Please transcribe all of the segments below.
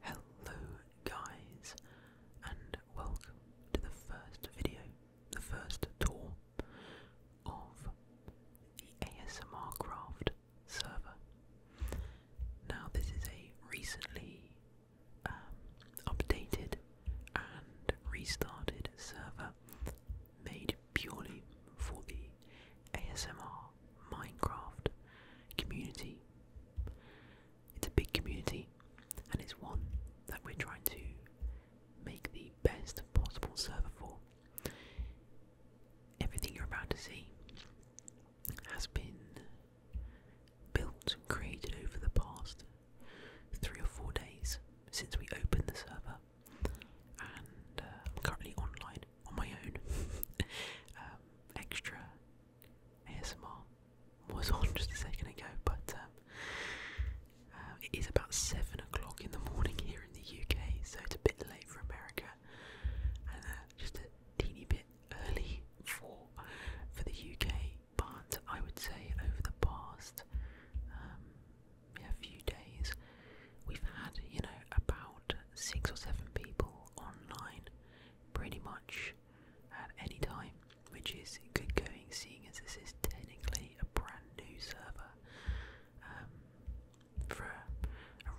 Hello guys and welcome to the first video, the first tour of the ASMR Craft server. Now this is a recently um, updated and restarted server made purely for the ASMR Minecraft community it's a big community, and it's one that we're trying to make the best possible server for. Everything you're about to see has been built and created over the past three or four days since we opened the server, and uh, I'm currently online on my own. Um, extra ASMR was on just a second ago, but um, uh, it is about seven o'clock in the morning here in the UK, so it's a bit late for America, and uh, just a teeny bit early for for the UK. But I would say over the past um, few days, we've had you know about six or seven people online pretty much at any time, which is good going seeing as this is technically a brand new server um, for a,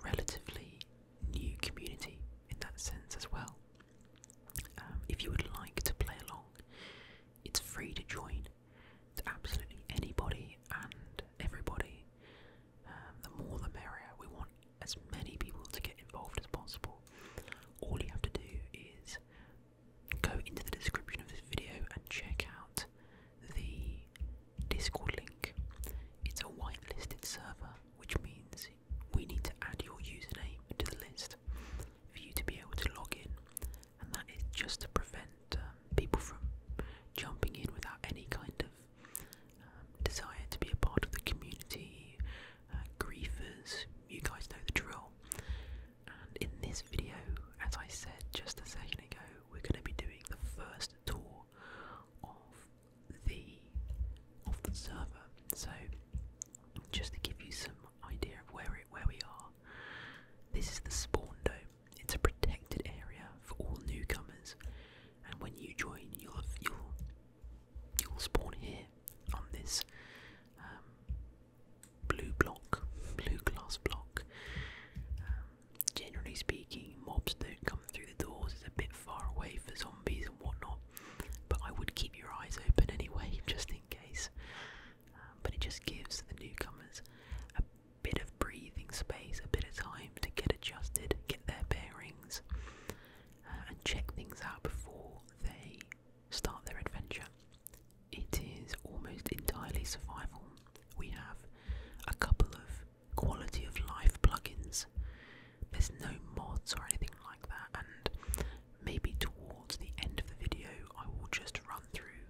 relatively new community in that sense as well. Um, if you would like to play along, it's free to join It's absolutely anybody and everybody. Um, the more the merrier. We want as many people to get involved as possible. All you have to do is go into the description of this video and check out the Discord link. It's a whitelisted server, which means we need to add your username to the list for you to be able to log in, and that is just to prevent um, people from jumping in without any kind of um, desire to be a part of the community, uh, griefers, you guys know the drill. And in this video, as I said just a second ago, we're going to be doing the first tour of the of the server. So, just to give you some idea of where where we are, this is the spawn dome. It's a protected area for all newcomers and when you join, you'll you'll spawn here on this um, blue block, blue glass block. Um, generally speaking, mobs don't come through the doors. It's a bit far away for zombies and whatnot, but I would keep your eyes open anyway, just in case. Um, but it just gives the newcomers a bit of breathing space, a bit of time to get adjusted, get their bearings, uh, and check things out before they start their adventure. It is almost entirely survival. We have a couple of quality of life plugins. There's no mods or anything like that, and maybe towards the end of the video, I will just run through.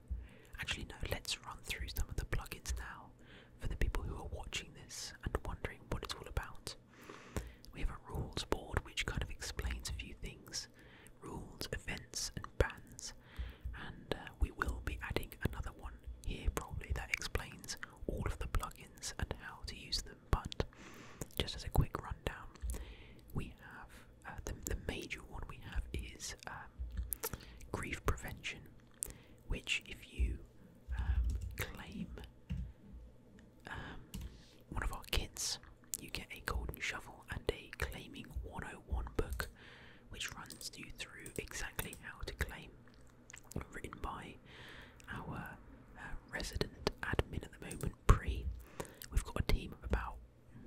Actually, no, let's run through some of the plugins now for the people who are watching this and wondering what it's all about. We have a rules board which kind of explains a few things rules, events, and bans, and uh, we will be adding another one here probably that explains all of the plugins and how to use them. But just as a quick rundown, we have uh, the, the major one we have is um, grief prevention which if you um, claim um, one of our kits, you get a golden shovel and a claiming 101 book, which runs you through exactly how to claim. Written by our uh, resident admin at the moment, Pre. We've got a team of about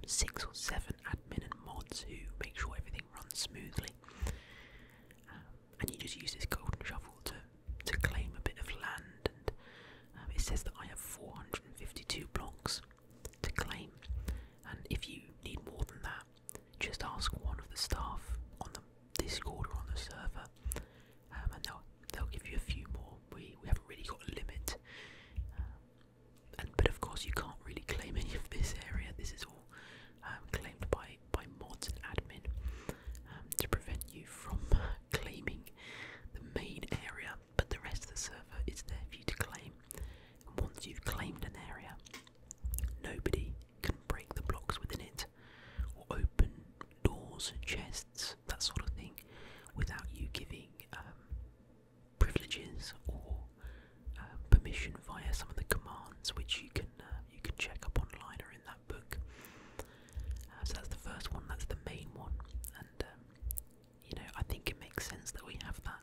six or seven admin and mods who make sure everything runs smoothly and you just use this golden shovel to to claim a bit of land. And um, it says that I have 452 blocks to claim, and if you need more than that, just ask one of the staff on the Discord or on the server, um, and they'll they'll give you a few more. We we haven't really got a limit, um, and but of course you can't really claim any of this area. This is all um, claimed by by mods and admin um, to prevent you from uh, claiming the main area, but the rest of the server is there for you to claim. And once you've claimed an area, nobody can break the blocks within it or open doors, chests, that sort of thing, without you giving um, privileges or uh, permission via some of the commands, which you can uh, you can check up online or in the book. Uh, so that's the first one, that's the main one, and um, you know, I think it makes sense that we have that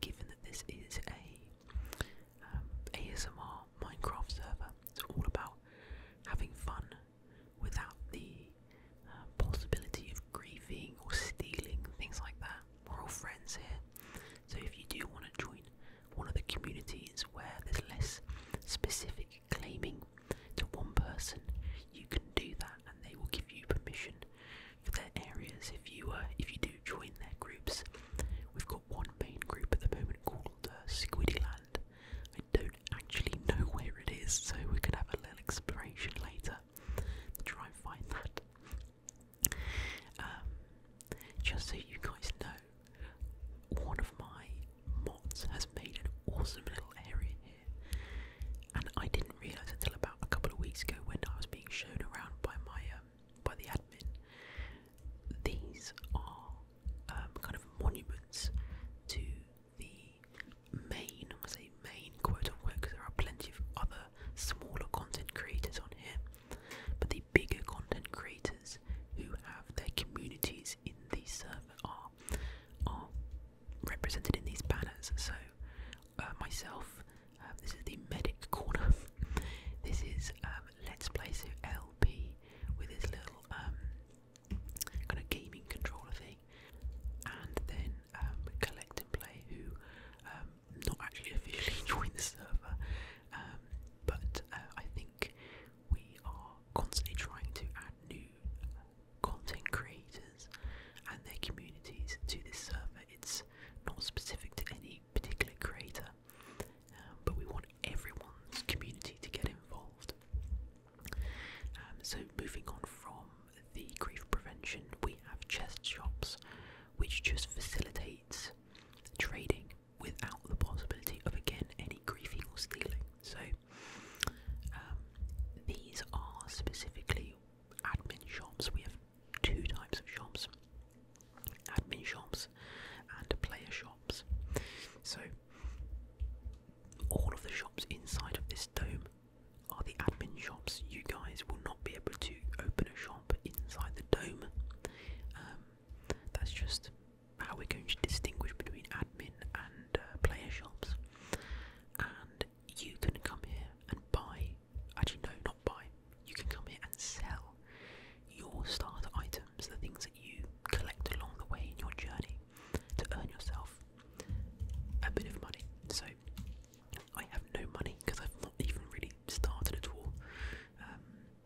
given that this is a um, ASMR Minecraft server. It's all about having fun without the uh, possibility of grieving or stealing, things like that. We're all friends here, so if you do want to join, one of the communities where there's less specific claiming to one person, you can do that, and they will give you permission for their areas if you uh, if you do join their groups. We've got one main group at the moment called uh, Squiddyland. I don't actually know where it is, so we're have a little exploration later try find that. Um, just so you guys know, one of my mods has made an awesome little area here, and I didn't realise until about a couple of weeks ago when I was being shown around by my um, by the admin. These are um, kind of monuments to the main, I say main quote unquote, because there are plenty of other smaller content creators on here. But the bigger content creators who have their communities in the server are are represented in these banners. So uh, myself, uh, this is the medic corner. this is um, Let's Play so LP with his little um, kind of gaming controller thing, and then um, Collect and Play who not actually officially joined the server. Um, but uh, I think we are constantly trying to add new content creators and their communities to this server. It's not specific to any particular creator, um, but we want everyone's community to get involved. Um, so, moving on from the grief prevention, we have chest shops, which just facilitates trading without the possibility of again any griefing or stealing. So um, these are specifically admin shops. We have two types of shops: admin shops and player shops. So all of the shops inside of this dome are the admin shops. You guys will not be able to open a shop inside the dome. Um, that's just how we're going to distinguish between admin and uh, player shops. And you can come here and buy, actually, no, not buy, you can come here and sell your starter items, the things that you collect along the way in your journey to earn yourself a bit of money. So, I have no money because I've not even really started at all. Um,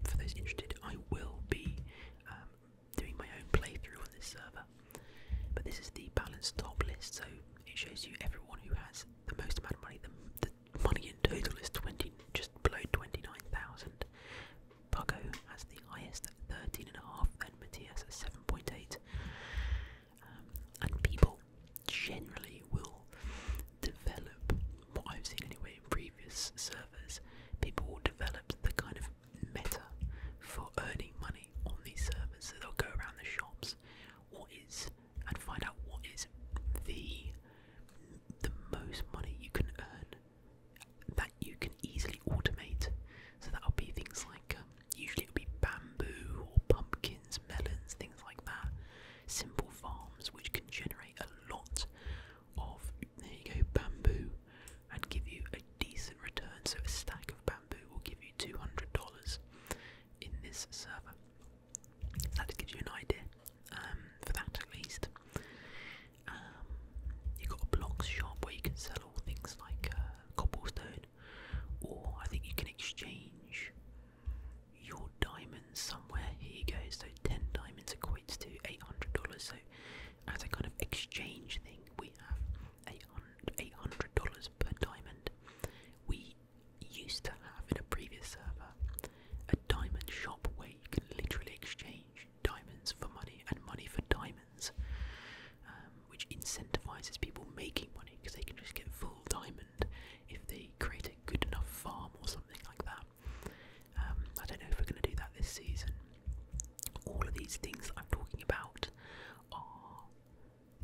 for those interested, I will be um, doing my own playthrough on this server. But this is the balance top list, so it shows you everyone who has the most amount of money. The, money in total is 20, just below 29,000. Buggo has the highest at 13.5, then Matthias at 7.8. Um, and people generally will develop what I've seen anyway in previous servers. People will develop the kind of meta for earning money on these servers. So they'll go around the shops, what is, and find out what is the the most money you can earn that you can easily automate. So that'll be things like um, usually it'll be bamboo or pumpkins, melons, things like that. Simple farms which can generate a lot of there you go bamboo and give you a decent return. So a stack of bamboo will give you two hundred dollars in this server. that gives you an idea um, for that at least. Um, you got a blocks shop where you can sell all things like uh, cobblestone, or I think you can exchange your diamonds somewhere. Here you go. So ten diamonds equate to 800 So, as a kind of exchange thing, we have $800 per diamond. We used to have in a previous server a diamond shop where you can literally exchange diamonds for money and money for diamonds, um, which incentivizes people making money because they can just get full diamond if they create a good enough farm or something like that. Um, I don't know if we're going to do that this season. All of these things that I'm talking about are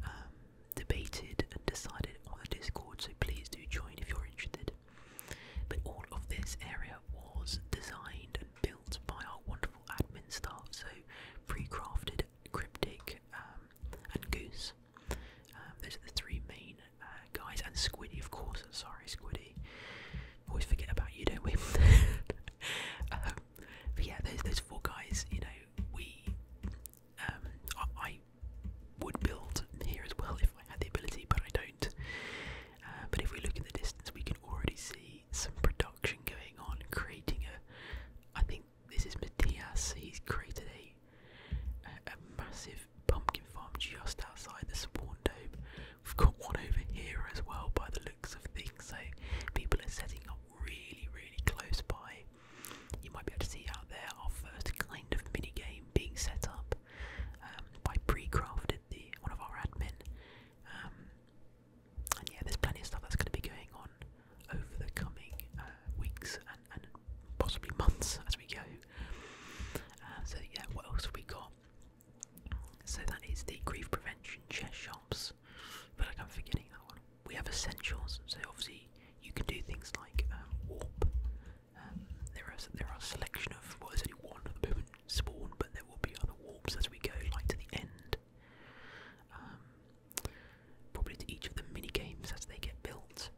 um, debated and decided on the Discord, so please do join if you're interested. But all of this area was designed and built by our wonderful admin staff, so pre-crafted, cryptic, um, and goose. those are the three main uh, guys, and Squiddy, of course. Sorry, Squiddy. Always forget about you, don't we? Um, but yeah, those those four guys. You know, we. Um, I, would build here as well if I had the ability, but I don't. Uh, but if we look in the distance, we can already see some production going on, creating a. I think this is Matthias. He's created a, a massive pumpkin farm just outside the spawn dome. We've got one over here as well by the looks of things, so people are setting up really, really close by. You might be able to see out there our first kind of mini game being set up um, by Precrafted, the one of our admin. Um, and yeah, there's plenty of stuff that's going to be going on over the coming uh, weeks and, and possibly months as we go. Um, so yeah, what else we got? So that is the grief prevention chest shops. But I'm forgetting that one. We have essentials. So obviously you can do things like um, warp. Um, there are there are a selection of what is only one at the moment spawn, but there will be other warps as we go, like to the end. probably to each of the mini games as they get built.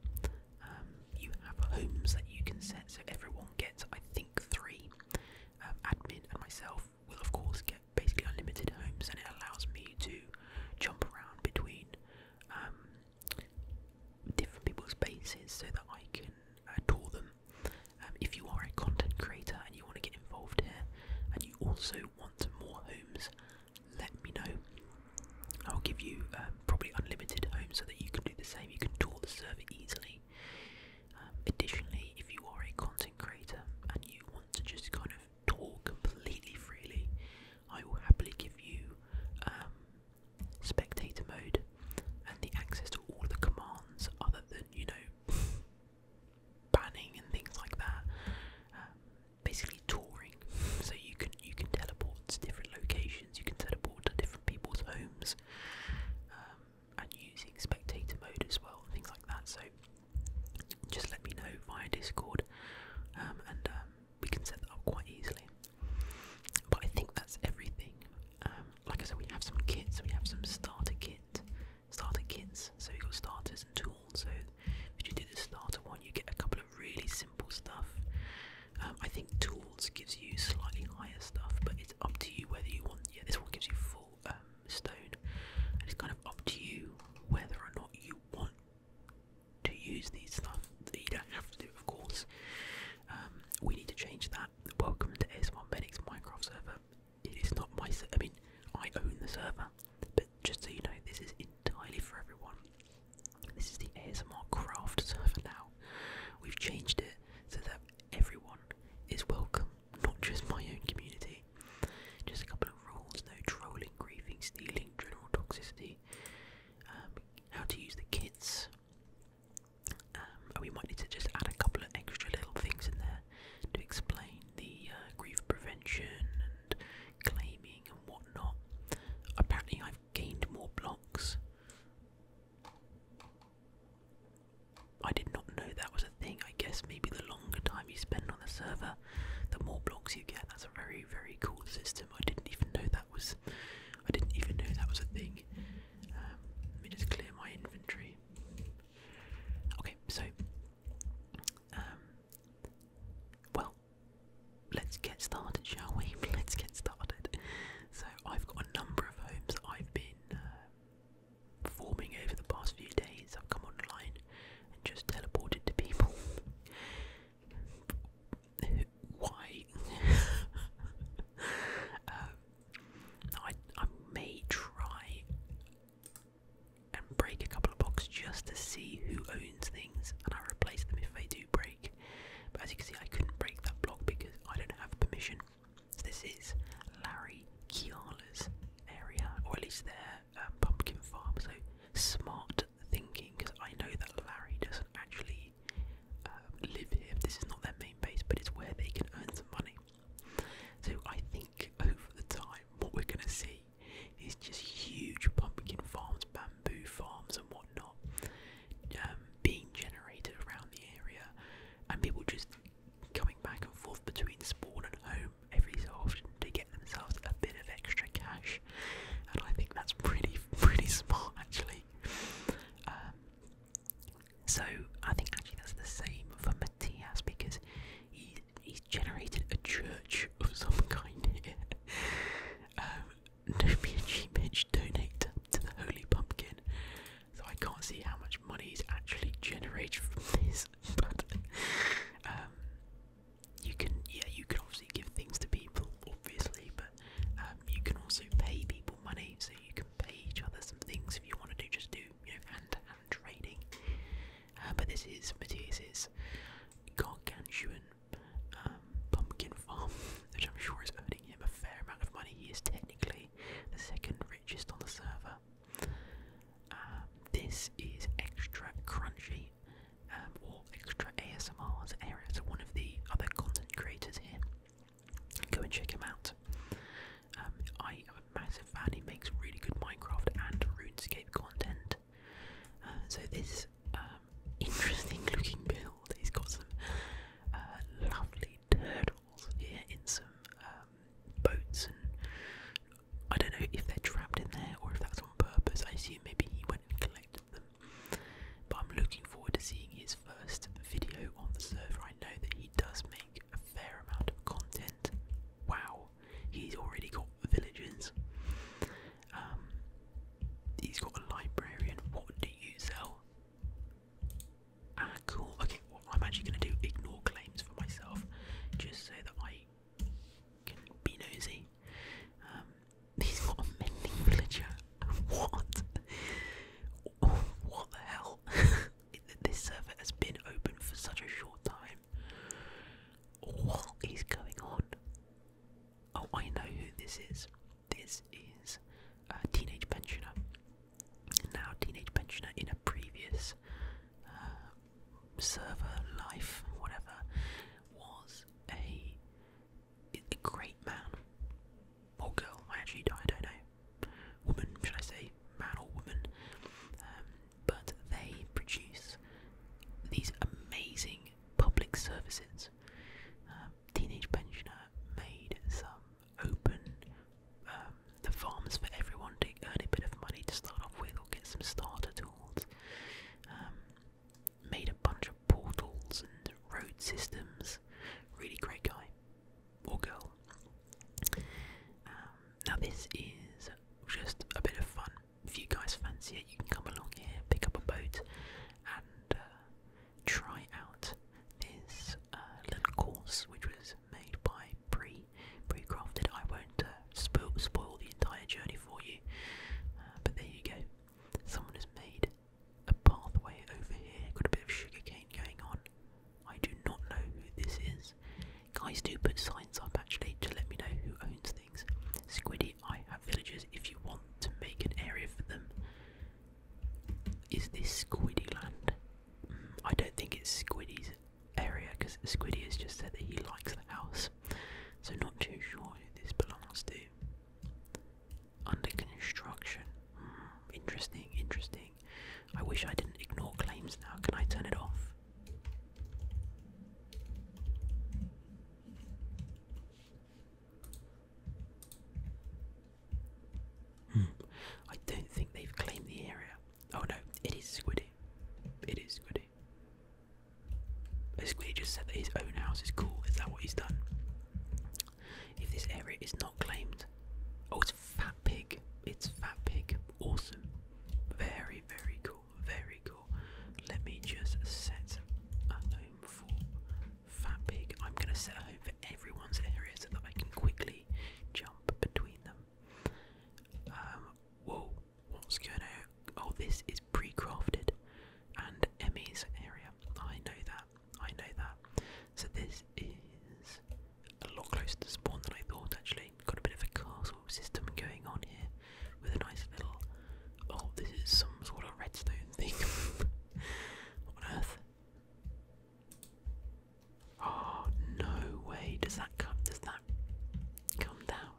Um, you have homes that you can set, so everyone gets, I think, three. Um, admin and myself will, of course, get basically unlimited homes, and it allows me to jump around between um, different people's bases so that I can uh, tour them. if you are a content creator and you want to get involved here, and you also want more homes, let me know. I'll give you um, probably unlimited home so that you can do the same. You can tour the server easily. Um, additionally, if you are a content creator and you want to just kind of talk completely freely, I will happily give you um, spectator mode and the access to all of the commands other than, you know, banning and things like that. basically touring. So you can you can teleport to different locations you can teleport to different people's homes um, and using spectator mode as well, things like that. So just let me know via Discord um, and um, we can set that up quite easily. But I think that's everything. like I said, we have some kits, we have some starter kit, starter kits. So you've got starters and tools. So if you do the starter one, you get a couple of really simple stuff. Um, I think tools gives you slightly higher stuff, but it's up to you whether you want. Yeah, this one gives you full um, stone, it's kind of up to you whether or not you want to use these stuff. You don't have to do, of course. Um, we need to change that. Welcome to S1 Benix Minecraft server. It is not my. I mean, I own the server, but just so you know, this is entirely for everyone. This is the ASMR craft server now. We've changed it so that everyone is welcome, not just my own community. Just a couple of rules no trolling, griefing, stealing, general toxicity, um, how to use the kits. Um, we might need to just add a couple of extra little things in there to explain the uh, grief prevention and claiming and whatnot. Apparently, I've gained more blocks I did not know that was a thing. I guess maybe the longer time you spend on the server, the more blocks you get. That's a very, very cool system. I didn't even know that was. I didn't even know that was a thing. Um, let me just clear my inventory. Okay, so. Um, well, let's get started, shall we? Let's get started. So I've got a number of homes I've been uh, performing over the past few days. I've come online and just teleported to people. Why? Um, I I may try and break a couple of blocks just to see who owns things, and I replace them if they do break. But as you can see, I couldn't break that block because I don't have permission. So this is Larry Kiala's area, or at least their um, pumpkin farm. So smart thinking, because I know that Larry doesn't actually um, live here. This is not their main base, but it's where they can earn some money. So I think over the time, what we're going to see is just huge pumpkin farms, bamboo farms, and whatnot. Um, being generated around the area, and people just coming back and forth between spawn and home every so often to get themselves a bit of extra cash. And I think that's pretty, pretty smart actually. Um, so I think actually that's the same for Matthias because he he's generated a church of some kind here. Um, Nomi Achimich donate to the Holy Pumpkin. So I can't see how much money is actually generated from this, um, you can, yeah, you can obviously give things to people, obviously, but um, you can also pay people money, so you can pay each other some things if you want to do, just do, you know, hand hand trading. Uh, but this is Matthias's gargantuan um, pumpkin farm, which I'm sure is earning him a fair amount of money. He is technically the second richest on the server. Um, this is extra crunchy, um, or extra ASMR as area. So one of the other content creators here. Go and check him out. Um, I am a massive fan. He makes really good Minecraft and RuneScape content. Uh, so this interesting looking build. He's got some uh, lovely turtles here in some um, boats, and I don't know if they're trapped in there or if that's on purpose. I assume maybe he went and collected them. But I'm looking forward to seeing his first video on the server. I know that he does make a fair amount of content. Wow, he's already got villages. Um, he's got a librarian. What do you sell? Ah, cool. Okay, I'm actually going to do ignore claims for myself, just so that I can be nosy. Um, he's got a mending villager. What? Oh, what the hell? this server has been open for such a short time. What is going on? Oh, I know who this is. This is a teenage pensioner. Now, teenage pensioner in a previous uh, server life, whatever, was a a great man or girl. I actually I don't know. Woman, should I say, man or woman? Um, but they produce these amazing public services. Um, Teenage Pensioner made some open um, the farms for everyone to earn a bit of money to start off with or get some starter tools. Um, made a bunch of portals and road systems. Really great guy or girl. Um, now this is just a bit of fun. If you guys fancy it, you can come along here, pick up a boat, and uh, try out this uh, little course which was made by Pre Pre I won't uh, spoil, the entire journey for you, uh, but there you go. Someone has made a pathway over here. Got a bit of sugarcane going on. I do not know who this is. Guys, do put signs up actually to let me know who owns things. Squiddy I have villagers if you want to make an area for them. Is this Squiddy land? Mm, I don't think it's Squiddy's area because Squiddy has just said that he likes the house. So not too sure who this belongs to. Under construction. Hmm, interesting, interesting. I wish I didn't ignore claims now. Can I turn it off? Hmm. I don't think they've claimed the area. Oh no, it is Squiddy. It is Squiddy. Squiddy just said that his own house is cool. Is that what he's done? If this area is not claimed. Oh, it's Fat Pig. It's Fat Pig. Awesome. Very, very cool. Very cool. Let me just set a home for Fat Pig. I'm going to set a home for everyone's area so that I can quickly jump between them. Um, whoa, what's going on? Oh, this is pre-crafted and Emmy's area. I know that. I know that. So this is a lot closer to spawn than I thought. Actually, got a bit of a castle system going on here with a nice little Oh, this is some sort of redstone thing. what on earth? Oh no way! Does that come? Does that come down?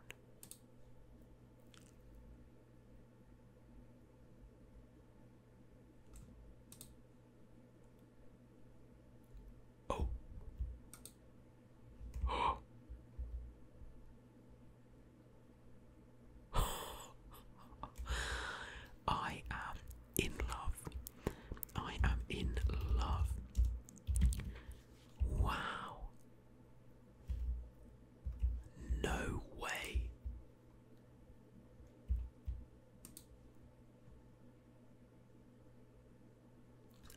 Oh. I am in love. I am in love. Wow. No way.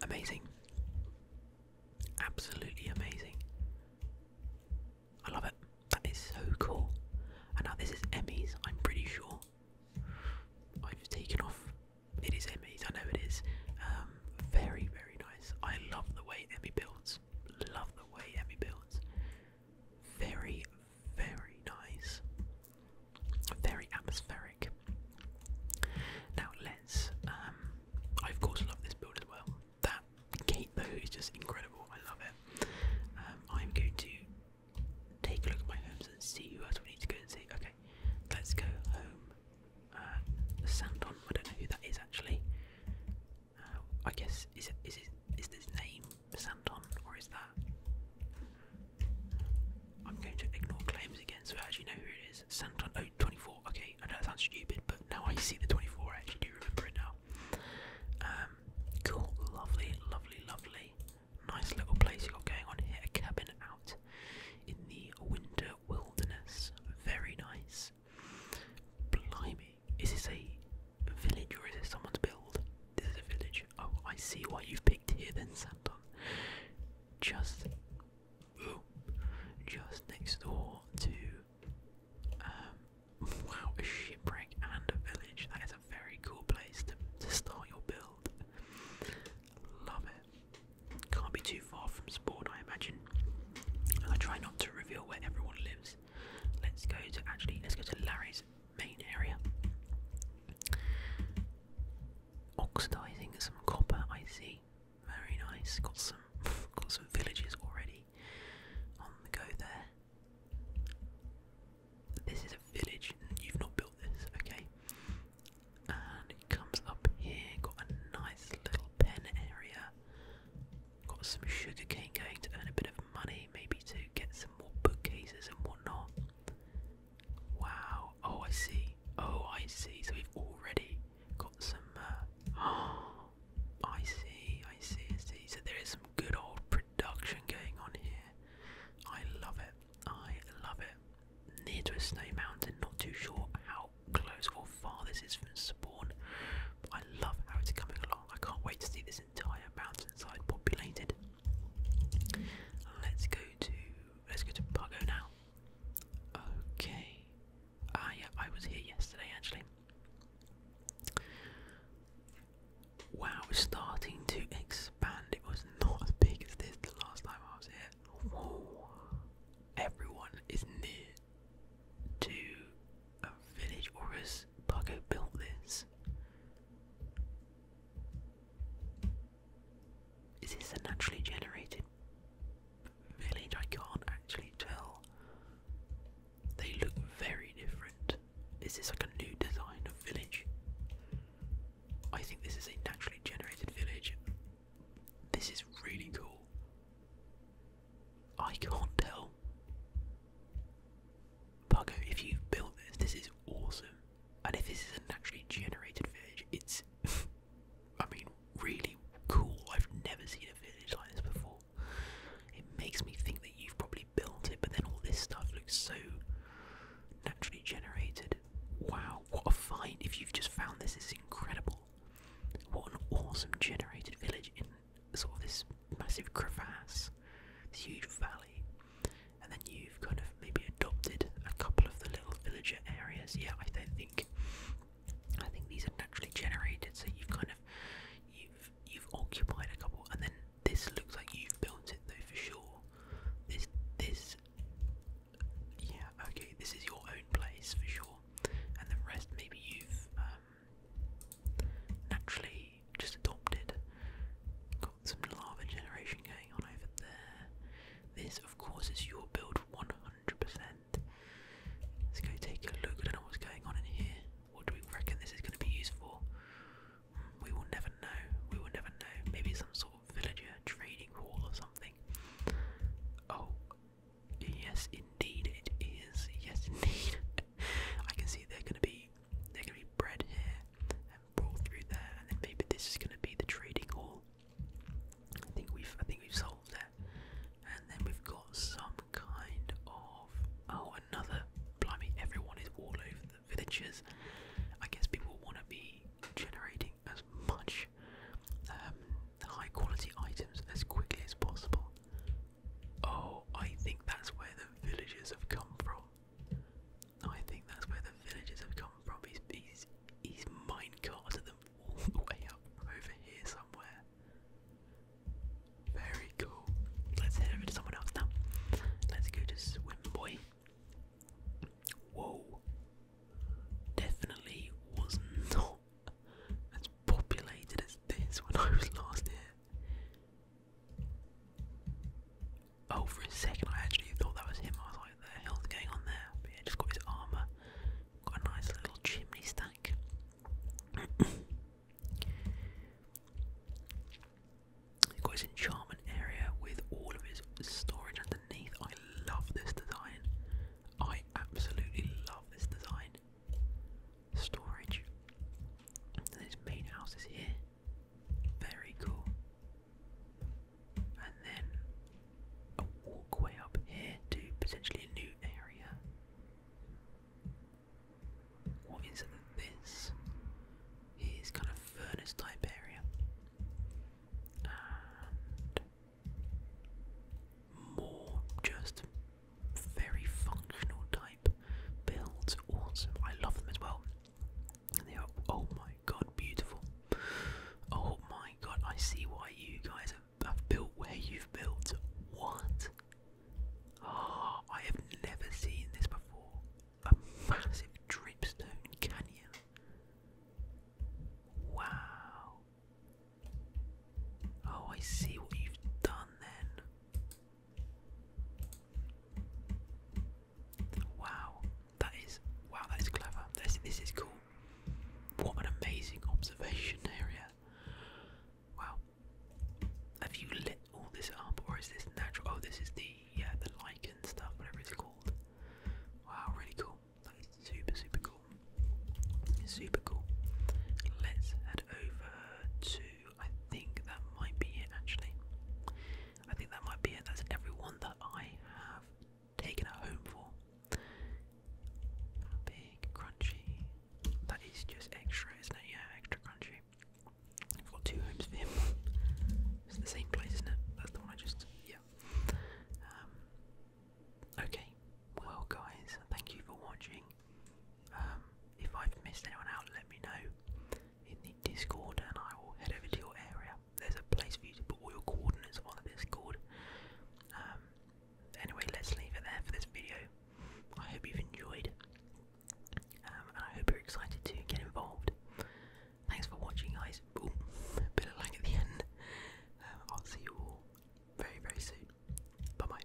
Amazing. Absolutely amazing. I love it. That is so cool. And now this is Emmys, I'm pretty sure. I've taken off. It is Emmys, I know it is. Um, very, very nice. I love the way Emmy builds. Love the way Emmy builds. Very, very nice. Very atmospheric. Now let's. Um, I of course love this build as well that gate though is just incredible. I love it. Um, I'm going to take a look at my homes and see who else we need to go and see. Okay, let's go home. Uh, Santon. I don't know who that is actually. Uh, I guess is it is it is this name Santon or is that? I'm going to ignore claims again, so Do you know who it is. Santon. Oh, 24. Okay, I know it sounds stupid, but now I see the 24, I actually do remember it now. Um, cool, lovely, lovely, lovely. Nice little place you got going on here. cabin out in the winter wilderness. Very nice. Blimey, is this a village or is it someone's build? This is a village. Oh, I see why you've picked here then, Santon. Just, ooh, just next door to um, Wow, a shipwreck and a village. That is a very cool place to, to start your build. Love it. Can't be too far from sport, I imagine. I try not to reveal where everyone lives. Let's go to actually, let's go to Larry's main area. Oxidizing some copper, I see. Very nice. Got some, got some villages already on the go there. This is a village, you've not built this, okay? And it comes up here, got a nice little pen area. Got some sugarcane going to earn a bit of money, maybe to get some more bookcases and whatnot. Wow, oh I see, oh I see. So we've already got some. Uh, oh, I see, I see, I see. So there is some good old production going on here. I love it. I love it. Near to a snow mountain, not too sure how close or far this is from spawn. But I love how it's coming along. I can't wait to see this entire mountain side populated. Let's go to let's go to Puggo now. Okay. Ah, yeah, I was here yesterday actually. Wow, it's starting to expand. It was not as big as this the last time I was here. Everyone is near to a village, or has Paco built this? Is this naturally generated village, I can't actually tell. They look very different. Is this like a new design of village? I think this is a naturally generated village. This is really cool. I can't tell. Pago, if you've built this, this is awesome. And if this is a naturally generated village, it's, I mean, really cool. I've never seen a village like this before. It makes me think that you've probably built it, but then all this stuff looks so naturally generated. Wow, what a find! If you've just found this, it's incredible. What an awesome generated village in sort of this massive crevasse, this huge valley. And then you've kind of maybe adopted a couple of the little villager areas. Yeah, I don't think I think these are naturally generated, so you kind of you've you've occupied a couple, and then this looks like you've built it though for sure. This this yeah okay, this is your own place for sure, and the rest maybe you've um, naturally just adopted. Got some lava generation going on over there. This of course is your build 100 let us go take a look. I what's going on in here. What do we reckon this is going to be used for? we will never know. We will never know. Maybe some sort of villager trading hall or something. Oh, yes, indeed it is. Yes, indeed. I can see they're going to be they're going to be bred here and brought through there, and then maybe this is going to be the trading hall. I think we've I think we've solved that, and then we've got some kind of oh another blimey everyone is all over the villagers. I guess people want to be generating as much um, high quality items as quickly as possible. Oh, I think that's where the villagers have come from. I think that's where the villagers have come from. He's he's, he's mine them all the way up over here somewhere. Very cool. Let's head over to someone else now. Let's go to Swim Boy. Whoa. Definitely was not as populated as this when I was last here. Oh, for a second I actually thought that was him. I was like, the hell's going on there? But just got his armour. Got a nice little chimney stack. Got his enchantment area with all of his storage underneath. I love this design. I absolutely love this design. Storage. his main house is here. Very cool. And then a walkway up here to potentially a new area. What is this? Is kind of furnace type area and more just very functional type builds. Awesome, I love them as well. And they are oh my god, beautiful. Oh my god, I see why you guys I've built where you've built. What? Ah, I have never seen this before. A massive dripstone canyon. Wow. Oh, I see what you've done then. Wow, that is wow, that is clever. this is cool. What an amazing observation area. Wow. Have you lit all this up, or is this natural? Oh, this is the yeah the lichen stuff, whatever it's called. Wow, really cool. That is super super cool. Super cool. Let's head over to. I think that might be it actually. I think that might be it. That's everyone that I have taken home for. Big, crunchy. That is just extra, isn't it? Yeah, extra crunchy. I've got two homes for him. It's the same place, isn't it? That's the one I just. Yeah. Um, okay. Well, guys, thank you for watching. Um, if I've missed anyone out, let me know in the Discord, and I will head over to your area. There's a place for you to put all your coordinates on the Discord. Um, anyway, let's leave it there for this video. I hope you've enjoyed, um, and I hope you're excited to get involved. Thanks for watching, guys. Ooh, bit of lag at the end. Um, I'll see you all very, very soon. Bye bye.